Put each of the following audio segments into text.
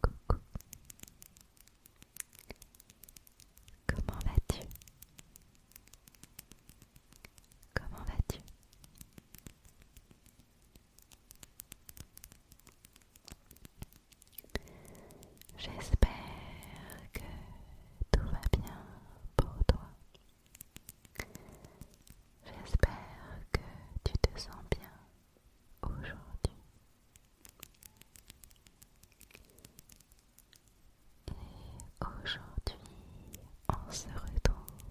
Comment vas-tu Comment vas-tu J'espère que tout va bien pour toi. J'espère que tu te sens bien aujourd'hui. Et aujourd'hui, on se retrouve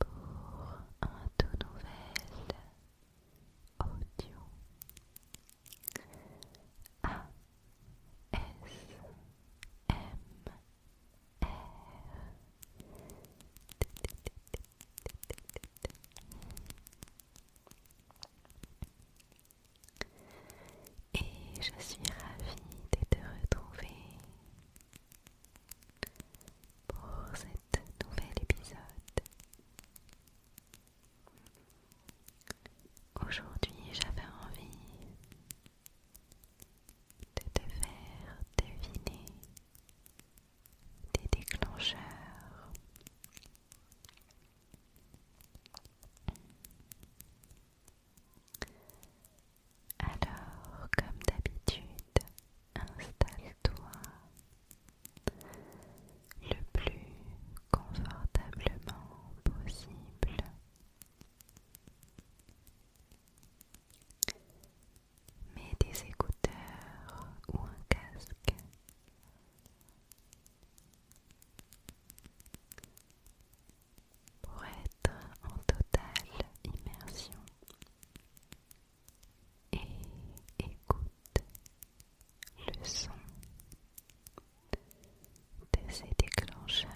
pour un tout nouvel audio. A S M et je suis ravie de te retrouver pour cet nouvel épisode. Aujourd'hui, j'avais envie de te faire deviner des déclencheurs. Alors, comme d'habitude, installe-toi le plus confortablement possible Mets des écouteurs ou un casque. Pour être en totale immersion et écoute le son de ces déclencheurs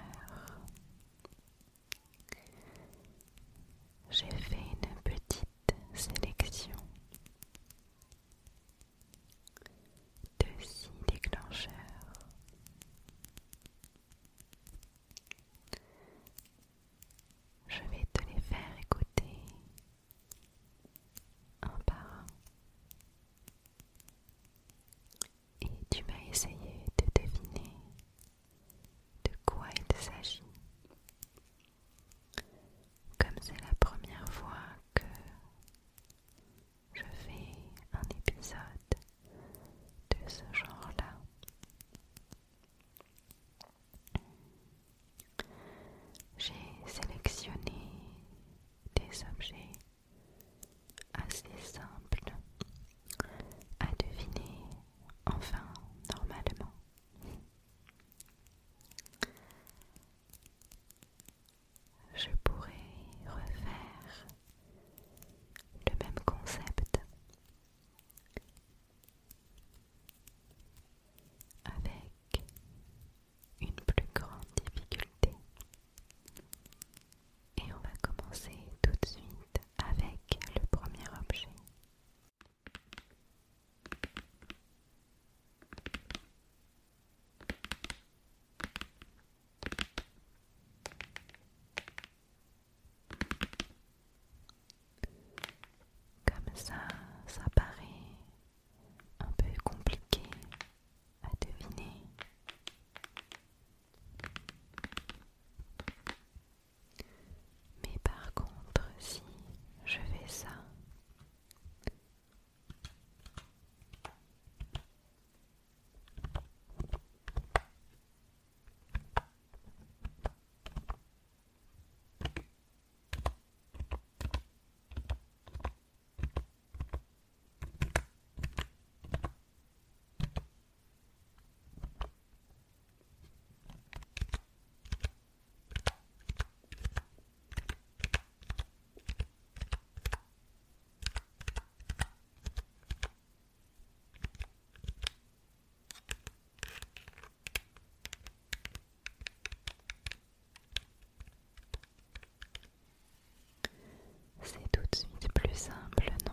j'ai fait une petite sélection de six déclencheurs je vais te les faire écouter un par un et tu m'as essayé de deviner de quoi il s'agit. Comme c'est la première fois que je fais un épisode de ce genre-là, j'ai sélectionné des objets assez simple à deviner, enfin normalement. Je pourrais refaire le même concept avec une plus grande difficulté et on va commencer tout de suite avec le premier objet. Comme ça, ça paraît un peu compliqué à deviner, mais par contre, si je fais ça, c'est tout de suite plus simple, non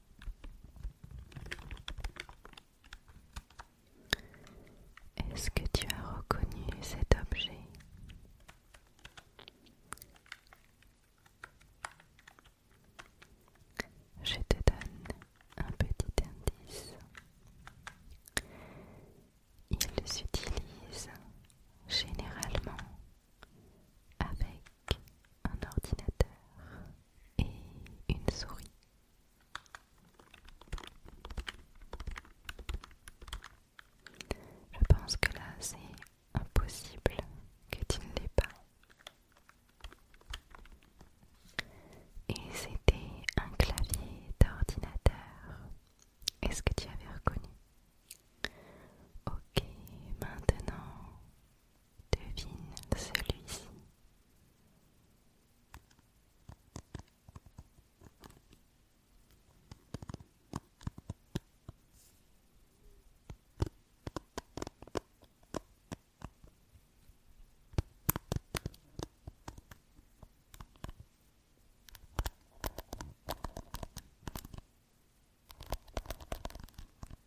Est-ce que tu as reconnu cet objet Je te donne un petit indice. Il s'utilise généralement avec un ordinateur et une souris. Je pense que là, c'est impossible que tu ne l'aies pas. Et c'était un clavier d'ordinateur. Est-ce que tu avais reconnu Ok, maintenant, Devine celui-ci.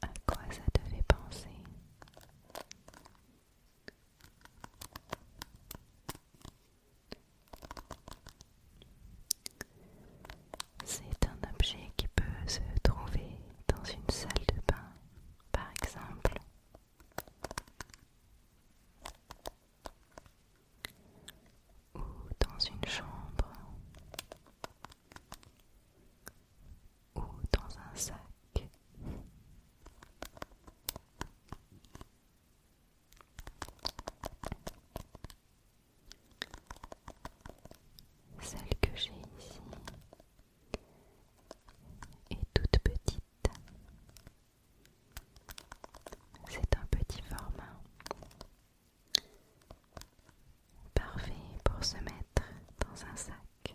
À quoi ça te fait penser c'est un objet qui peut se trouver dans une salle de bain, par exemple. Ou dans une chambre. Ou dans un sac. Celle que j'ai ici est toute petite. C'est un petit format. Parfait pour se mettre dans un sac.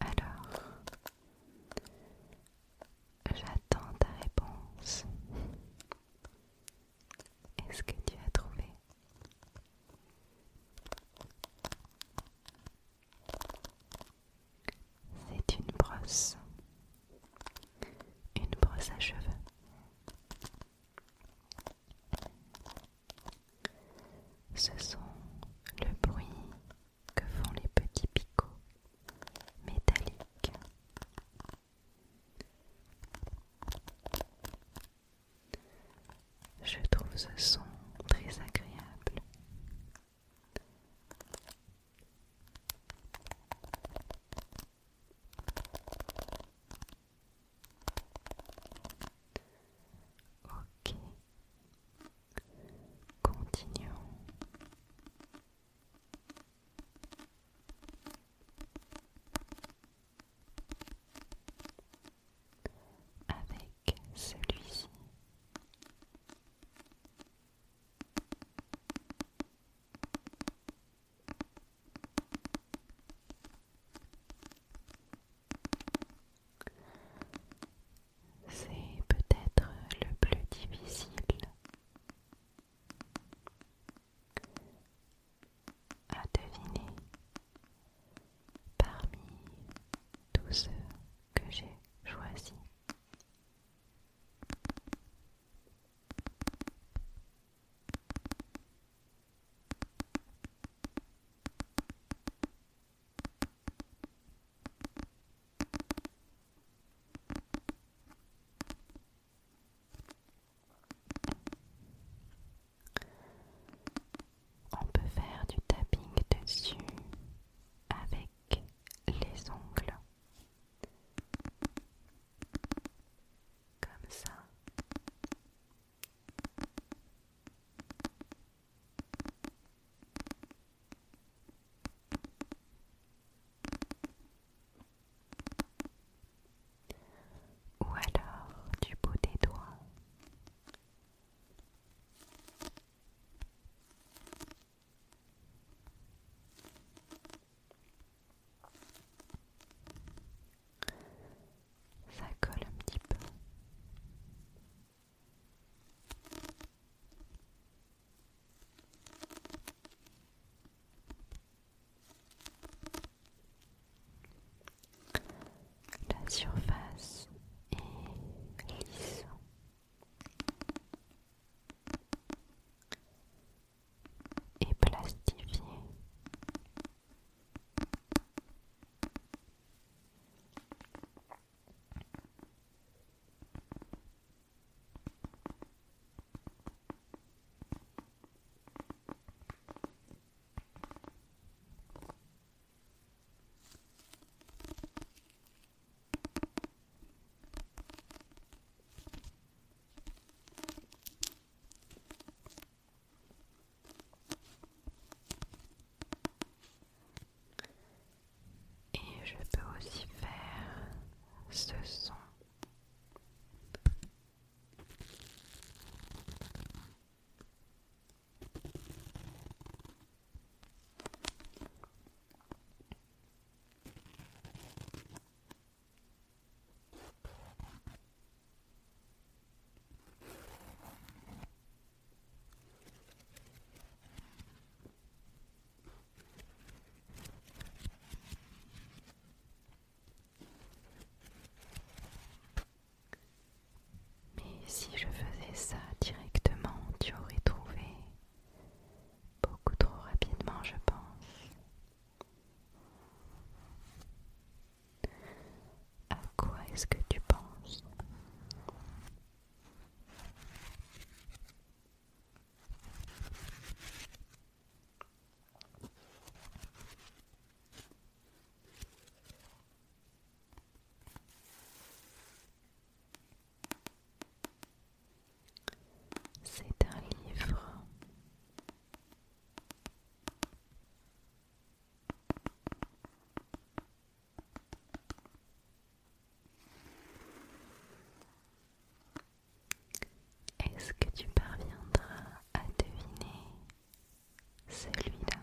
alors j'attends ta réponse. Est-ce que tu as trouvé c'est une brosse. Une brosse à cheveux. Ce sont le bruit que font les petits picots métalliques. Je trouve ce son très agréable. Ok. Continuons. Avec celui-ci. C'est peut-être le plus difficile à deviner parmi tous ceux que j'ai choisis. On peut faire du tapping dessus avec les ongles comme ça. Ou alors du bout des doigts. Ça colle un petit peu. La surface est lisse et plastifié. Et je peux aussi faire ce son. Mais si je faisais ça directement, tu aurais trouvé Beaucoup trop rapidement, je pense. À quoi est-ce que tu penses c'est un livre Est-ce que tu parviendras à deviner celui-là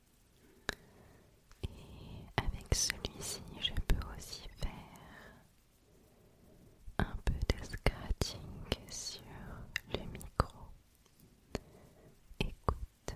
Et avec celui-ci, je peux aussi faire un peu de scratching sur le micro. Écoute.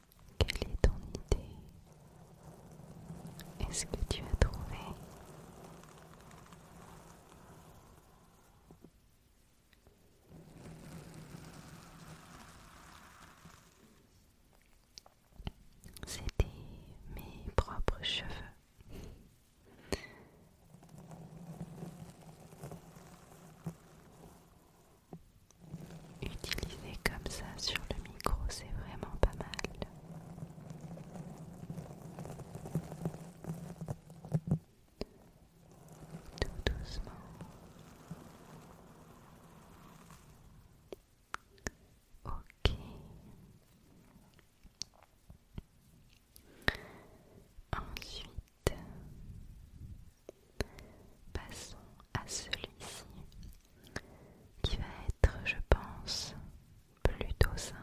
Quelle est ton idée Est-ce que tu as trouvé C'était mes propres cheveux. Utiliser comme ça sur le micro, c'est vraiment pas mal. Tout doucement. Ok. Ensuite, Passons à celui-ci qui va être, je pense, plutôt simple.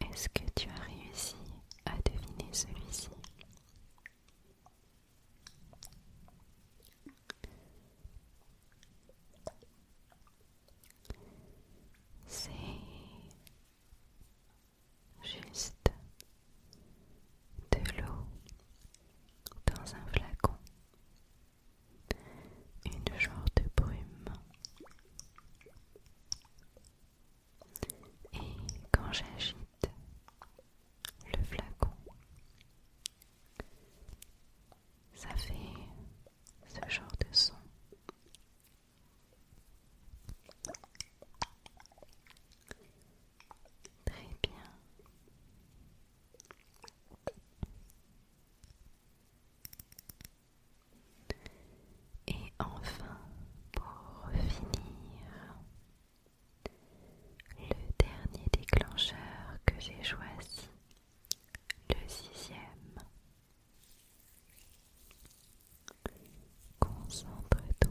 Est-ce que tu as réussi à deviner celui-ci C'est Juste de l'eau dans un flacon, une genre de brume. Et quand j'agite le flacon, ça fait ce genre de son Très bien. Et enfin, pour finir, le dernier déclencheur que j'ai choisi, le sixième. Concentre-toi.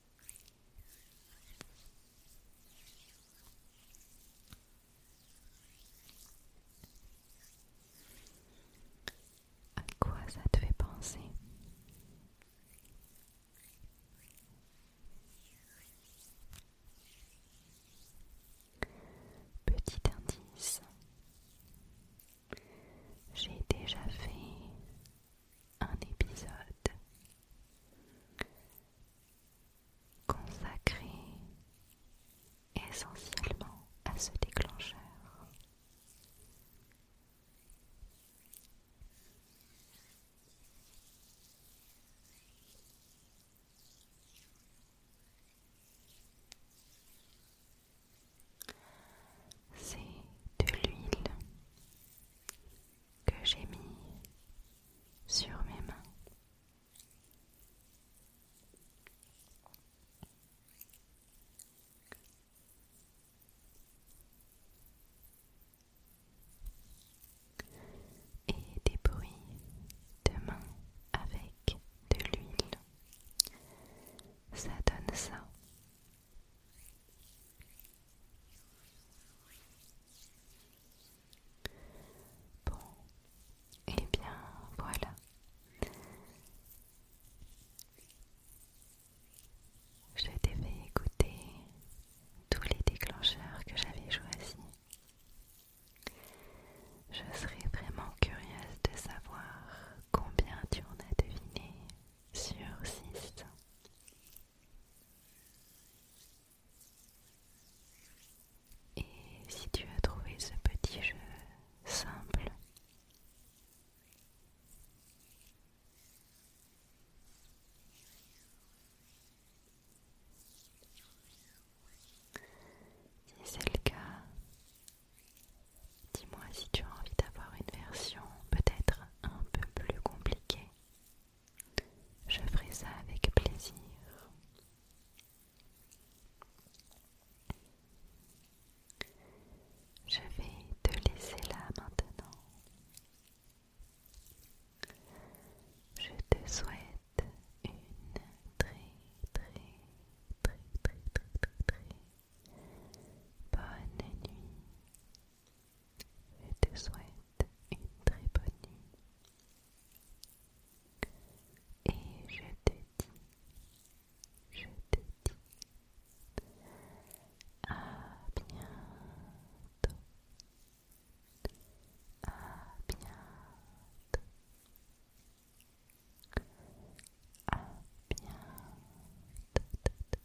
À quoi ça te fait penser Petit indice, j'ai déjà fait un épisode consacré essentiellement à ce déclencheur. C'est de l'huile que j'ai mis sur mes mains. Et des bruits de main avec de l'huile. Ça donne ça. Bon, et eh bien voilà. Je t'ai écouter tous les déclencheurs que j'avais choisis. Je serais vraiment curieuse de savoir combien tu en as deviné sur 6. Et si tu as trouvé ce petit jeu simple, si c'est le cas, dis-moi si tu as envie d'avoir une version peut-être un peu plus compliquée je ferai ça avec plaisir. Je vais te laisser là maintenant. Je te souhaite une très très très très très très, très bonne nuit je te souhaite une très bonne nuit. Et je te dis, je te dis à bientôt, à bientôt, à